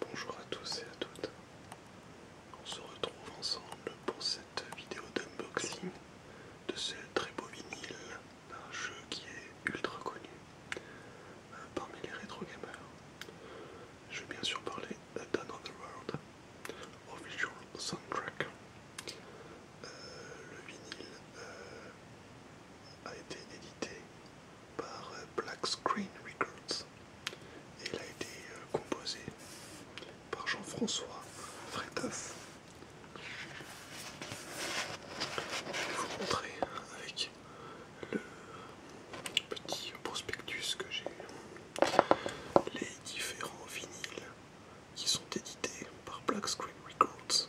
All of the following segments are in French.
Bonjour à tous et à toutes. On se retrouve ensemble pour cette vidéo d'unboxing de ce très beau vinyle d'un jeu qui est ultra connu euh, parmi les rétro gamers. Je vais bien sûr parler d'Another World Official Soundtrack. Euh, le vinyle euh, a été édité par euh, Black Screen Records. Et il a été euh, composé par Jean-François Fretoff. Je vais vous montrer hein, avec le petit prospectus que j'ai les différents vinyles qui sont édités par Black Screen Records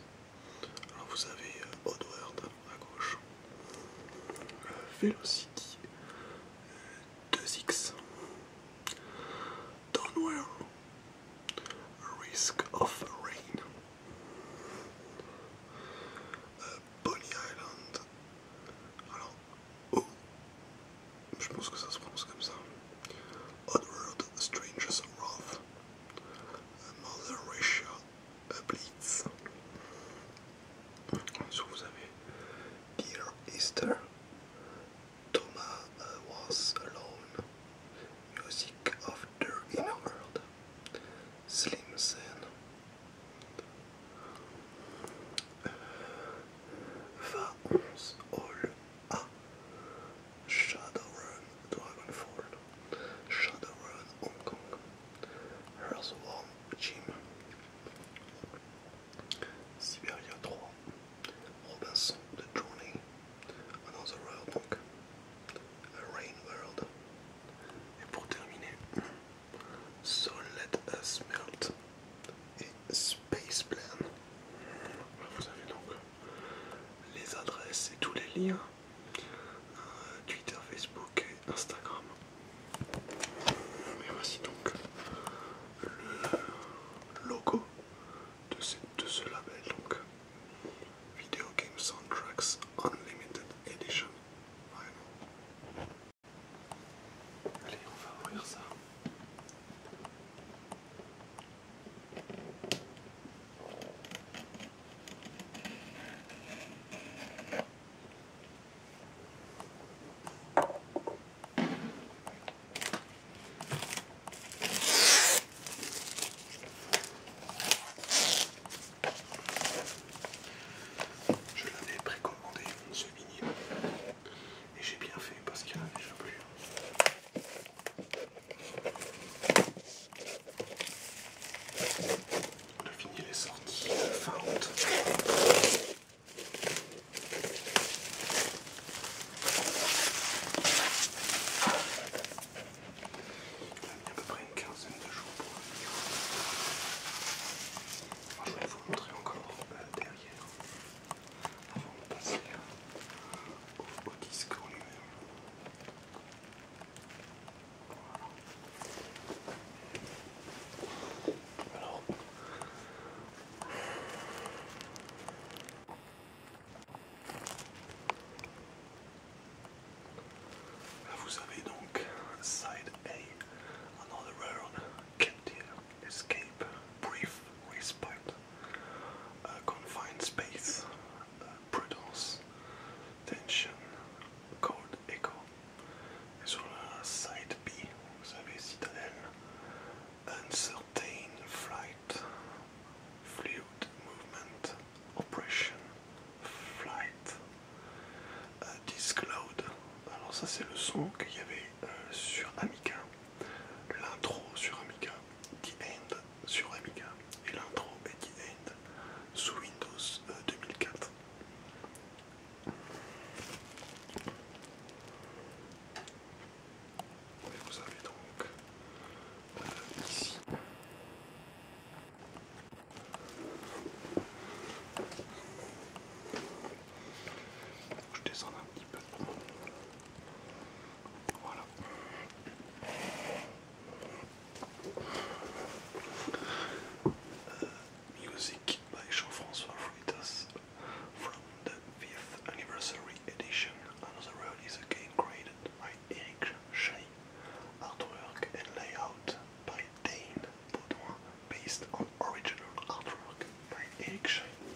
alors vous avez euh, Oddworld à gauche, euh, Velocity 2X, euh, Downwell, Risk of Rain, Bonnie Island. Alors, O oh, je pense que ça se prononce comme ça. Oddworld Strangers Wrath, Mother Ratio. Blitz. So vous Dear Easter, Thomas uh, was alone, Music of the Inner World, Slim Sen, All A, ah. Shadowrun Dragonfall, Shadowrun Hong Kong, Earthworm Jim, Siberia 3, Robinson The Journey, Another World A Rain World, et pour terminer, So Let Us Melt et Space Plan. Vous avez donc les adresses et tous les liens Twitter, Facebook et Instagram. Et voici donc le logo de ce, de ce label, donc Video Game Soundtracks Unlimited Edition. Vraiment. Allez, on va ouvrir ça. Je l'avais précommandé ce mini et j'ai bien fait parce qu'il y plus. Le vinyle est sorti fin août. Il a mis à peu près une quinzaine de jours pour venir. je vais vous montrer encore euh, derrière avant de passer euh, au, au disque en lui-même. Là vous side A, another round, captive, escape, brief, respite, uh, confined space, uh, prudence, tension, cold echo. Et sur la side B, vous avez Citadel uncertain flight, fluid movement, oppression, flight, euh, Discload Alors ça c'est le son qu'il y avait euh, sur Amica l'intro sur Amica, end sur Amiga et l'intro Eddie End sous Windows 2004. Euh, quatre. vous avez donc euh, ici je descends un petit peu music by Jean-François Freitas from the 5th anniversary edition. Another road is again created by Eric Shai. Artwork and layout by Dane Baudouin based on original artwork by Eric Shai.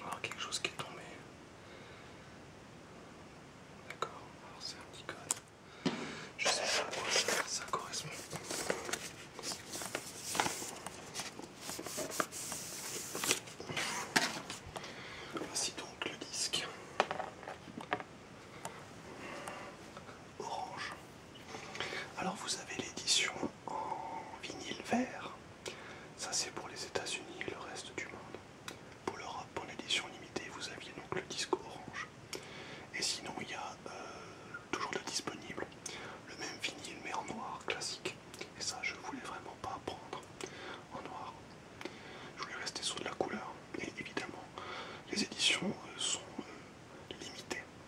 Alors quelque chose qui est tombé. D'accord, alors c'est un petit code. Je sais pas à quoi ça, ça correspond. Voici donc le disque orange. Alors vous avez l'édition en, vinyle vert. Ça c'est pour les États-Unis et le reste du monde. Pour l'Europe, en édition limitée, vous aviez donc le disque orange. Et sinon, il y a euh, toujours le disponible le même vinyle mais en noir classique. Et ça, je voulais vraiment pas prendre en noir. Je voulais rester sur de la couleur. Et évidemment, les éditions euh, sont euh, limitées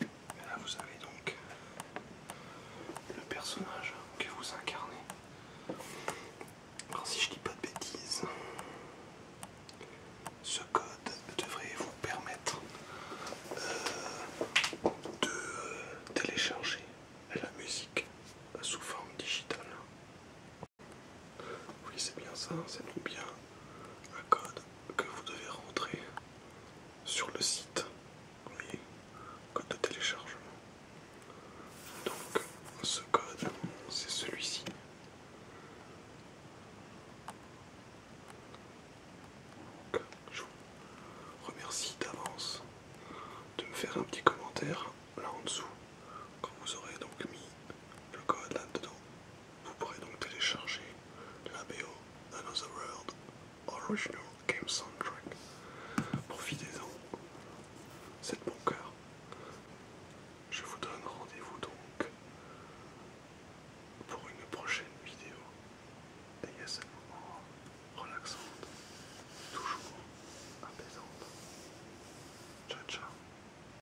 Et là vous avez donc le personnage que vous incarnez. Alors si je dis pas de bêtises, ce code devrait vous permettre euh, de télécharger la musique sous forme digitale. Oui c'est bien ça, hein, c'est tout bien un code que vous devez rentrer sur le site. Vous code de téléchargement. Donc ce code, c'est celui-ci. Je vous remercie d'avance de me faire un petit commentaire là en dessous quand vous aurez donc mis le code là-dedans. Vous pourrez donc télécharger la BO Another World Original Game Soundtrack. Profitez-en, c'est de bon cœur. Je vous donne rendez-vous donc pour une prochaine vidéo moment relaxante, toujours apaisante. Ciao ciao